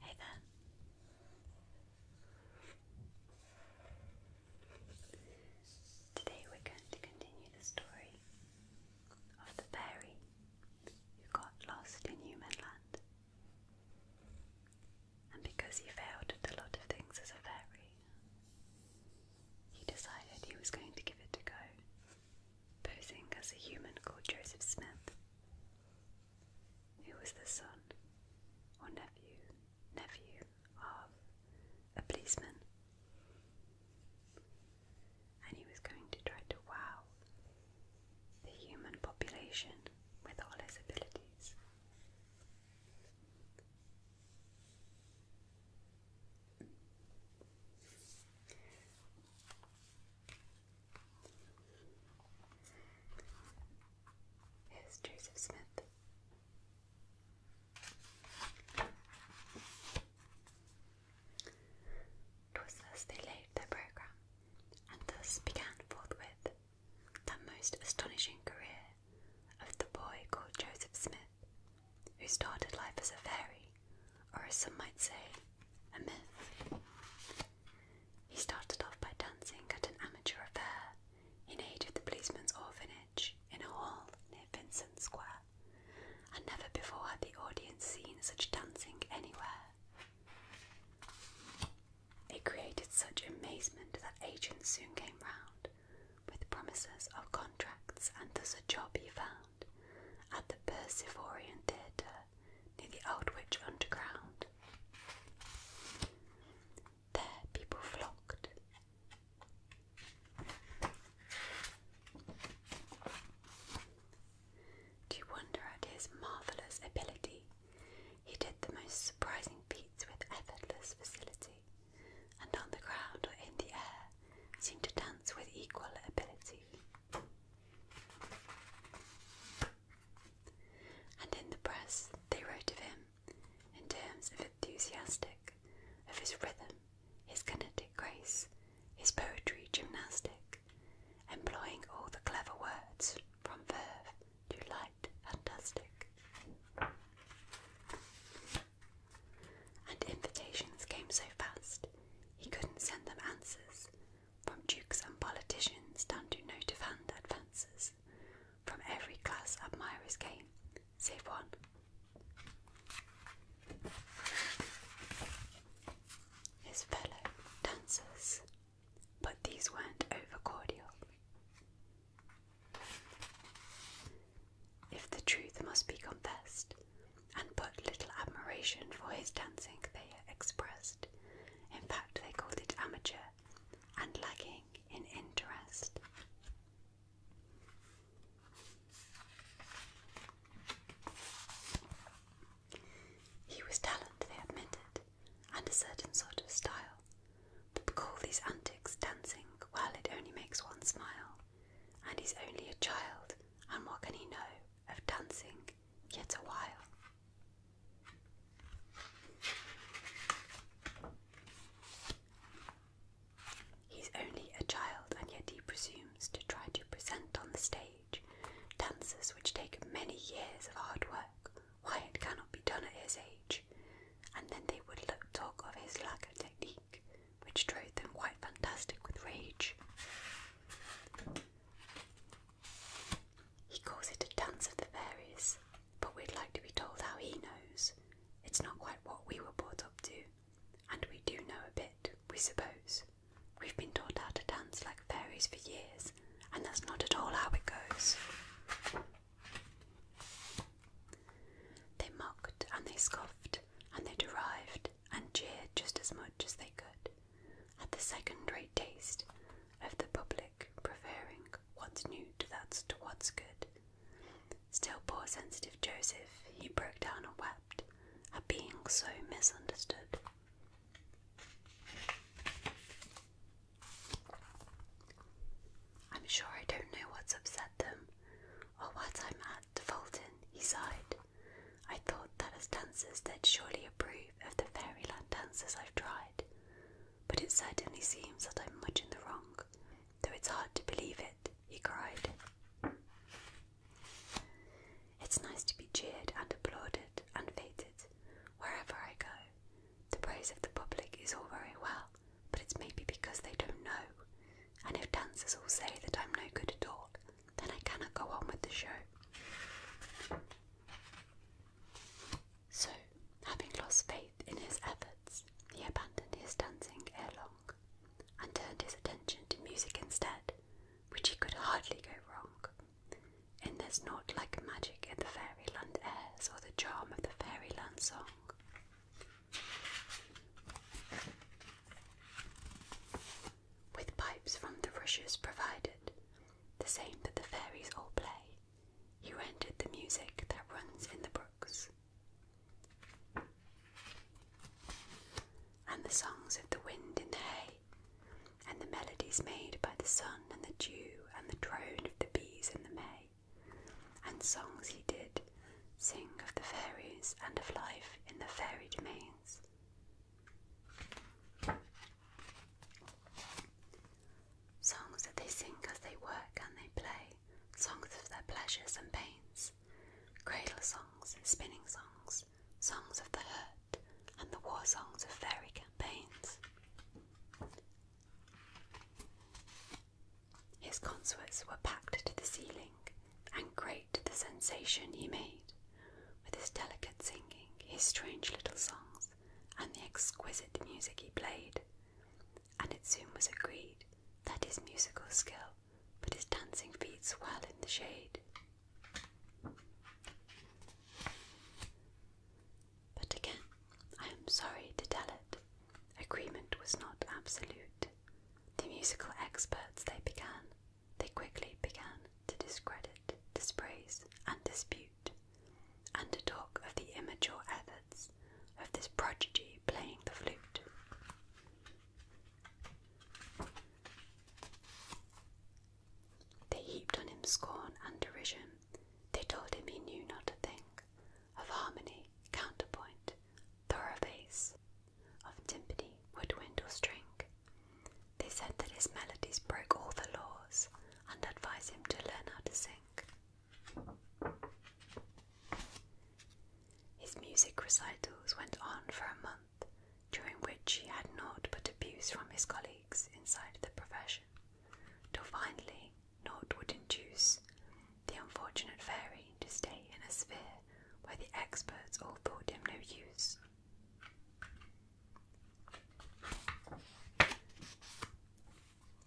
Hey there. Today we're going to continue the story of the fairy who got lost in human land. And because he failed at a lot of things as a fairy, he decided he was going to give it a go, posing as a human called Joseph Smith, who was the son or nephew, nephew of a policeman. And he was going to try to wow the human population with all his abilities. Here's Joseph Smith. Twas thus they laid their programme, and thus began forthwith that most astonishing career of the boy called Joseph Smith, who started life as a fairy, or as some might say, a myth. He started off by dancing at an amateur affair in aid of the policeman's orphanage in a hall near Vincent Square, and never before had the audience seen such dancing anywhere. It created such amazement that agents soon came round, with promises of contracts, and thus a job he found at the Persephorian Theatre near the Old Witch Underground. There people flocked. To wonder at his marvellous ability, he did the most surprising feats with effortless facility and on the ground or in the air seem to dance with equal ability. And in the press they wrote of him in terms of enthusiastic, of his rhythm, his kinetic grace, his poetry gymnastic, employing all the clever words from verve to light fantastic, And invitations came so fast, he couldn't send them answers, from dukes and politicians down to note of hand advances. From every class admirers came, save one. His fellow dancers but these weren't over cordial. If the truth must be confessed, and put little admiration for his dancing they expressed, in fact, they called it amateur and lagging in interest. He was talented, they admitted, and a certain sort of style, but call these antics dancing, well, it only makes one smile, and he's only a child, and what can he know of dancing yet a while? He's only a child, and yet he presumes to try to present on the stage dances which take many years of hard work why it cannot be done at his age, and then they would look, talk of his lack of technique, which drove them quite fantastic with rage. He calls it a dance of the fairies, but we'd like to be told how he knows. It's not quite what we were brought up to, and we do know a bit, we suppose. We've been taught how to dance like fairies for years, and that's not at all how it goes. They mocked and they scoffed and they derided and jeered just as much as they could at the second rate taste of the public preferring what's new to that's to what's good. Still poor sensitive Joseph, he broke down and wept at being so misunderstood. I'm sure I don't know what's upset them, or what I'm at Fulton, he sighed. I thought that as dancers they'd surely approve of the fairyland dances I've tried, but it certainly seems that I'm much in the wrong, though it's hard to believe it, he cried. It's nice to be cheered and applauded and feted wherever I go. The praise of the public is all very well, but it's maybe because they don't know. And if dancers all say that I'm no good at all, then I cannot go on with the show. So, having lost faith in his efforts, he abandoned his dancing ere long and turned his attention to music instead, which he could hardly go wrong. And there's not like magic in the fairyland airs or the charm of the fairyland song. With pipes from the rushes provided, the same that the fairies all play, you rented the music that runs in the brooks. And the songs of the wind in the hay, and the melodies made by the sun and the dew and the drone of the bees in the May, and songs he did sing of the fairies and of life in the fairy domains. Songs that they sing as they work and they play, songs of their pleasures and pains, cradle songs, spinning songs, songs of the hurt, and the war songs of fairy campaigns. His consorts were packed to the ceiling, and great the sensation he made with his delicate singing, his strange little songs, and the exquisite music he played. And it soon was agreed that his musical skill put his dancing feet swell in the shade. But again, I am sorry to tell it, agreement was not absolute. The musical experts they began, they quickly began to discredit, dispraise, and dispute, and to talk of the immature efforts of this prodigy playing the flute. They heaped on him scorn and derision. They told him he knew not a thing of harmony, counterpoint, thoroughbass, of timpani, woodwind, or string. They said that his melodies broke all the laws and advised him to learn how to sing. His music recitals went on for a month during which he had naught but abuse from his colleagues inside the profession, till finally naught would induce the unfortunate fairy to stay in a sphere where the experts all thought him no use.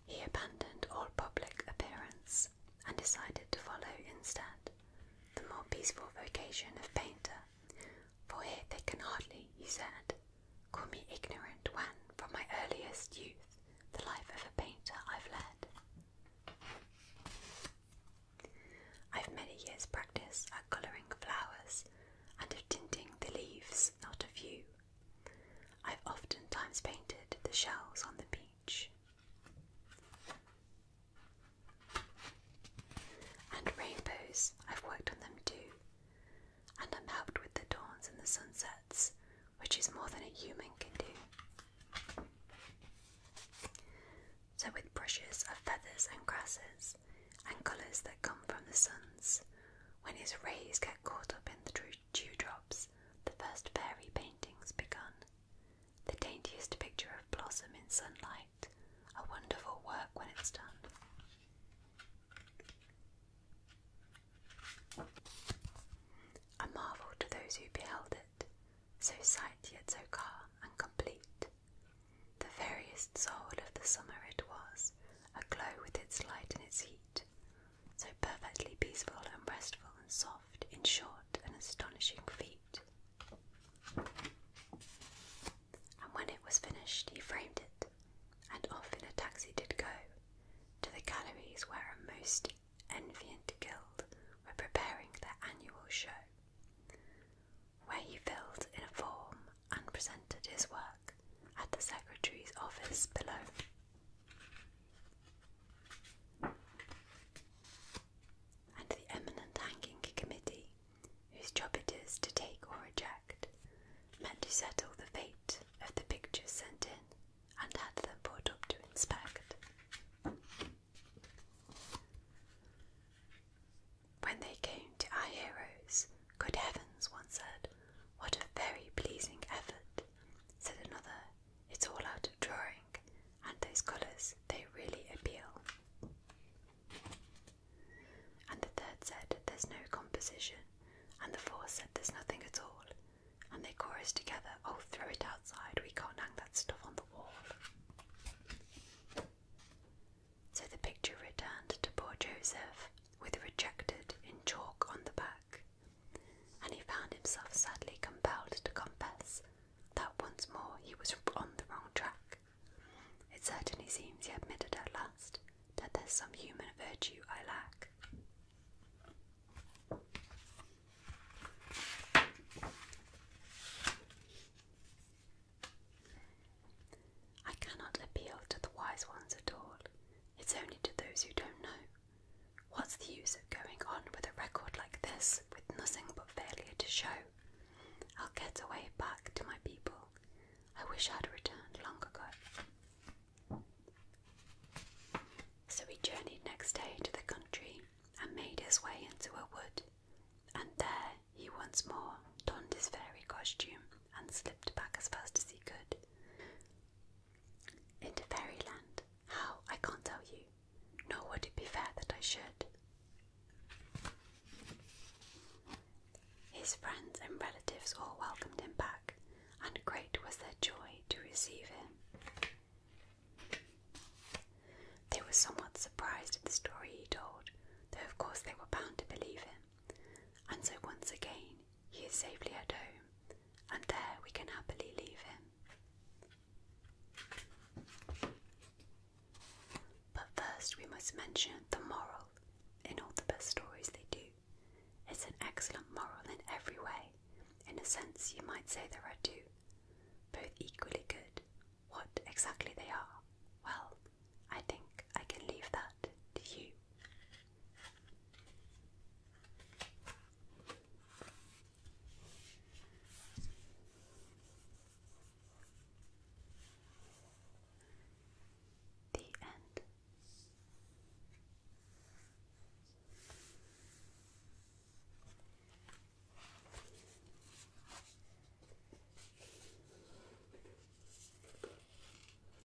He abandoned all public appearance and decided to follow instead the more peaceful vocation of painter, for here they can hardly, he said, call me ignorant when, from my earliest youth, the life of a painter I've led. I've many years' practice at colouring flowers and of tinting the leaves, not a few. I've oftentimes painted the shells on the beach. And rainbows, I've worked on them too. And I'm helped with the dawns and the sunsets, which is more than a human can do. So, with brushes of feathers and grasses, and colours that come from the suns, when his rays get caught up in the dewdrops, the first fairy painting's begun. The daintiest picture of blossom in sunlight, a wonderful work when it's done. A marvel to those who beheld it, so sight yet so calm and complete. The veriest soul of the summer it was, aglow with its light and its heat, so perfectly peaceful and restful and soft in short an astonishing feat. And when it was finished, he framed it, and off in a taxi did go to the galleries where a most enviant guild were preparing their annual show, where he filled in a form and presented his work at the secretary's office below and the eminent hanging committee, whose job it is to take or reject, met to settle the fate of the pictures sent in and had them brought up to inspect. When they came to our heroes, good heavens, one said, what a very pleasing effort, said another it's all out of drawing, and those colours, they really appeal. And the third said there's no composition, and the fourth said there's nothing at all, and they chorused together, oh, throw it outside, we can't hang that stuff on the wall. So the picture returned to poor Joseph with rejected in chalk on the back and he found himself sadly compelled to confess that once more he was on the wrong track. It certainly seems he admitted at last that there's some human virtue I lack. I cannot appeal to the wise ones at It's only to those who don't know. What's the use of going on with a record like this with nothing but failure to show? I'll get away back to my people. I wish I'd returned long ago. So he journeyed next day to the country and made his way into a wood, and there he once more donned his fairy costume and slipped back as fast as he could. Into fairyland. How? I can't tell you. Nor would it be fair that I should. His friends and relatives all welcomed him back, and great was their joy to receive him. They were somewhat surprised at the story he told, though of course they were bound to believe him, and so once again he is safely at home, and there we can happily leave him. But first, we must mention the moral. In all the best stories, they do. It's an excellent moral in every way. In a sense, you might say there are two, both equally good. What exactly they are, well, I think I can leave that that to you. The end.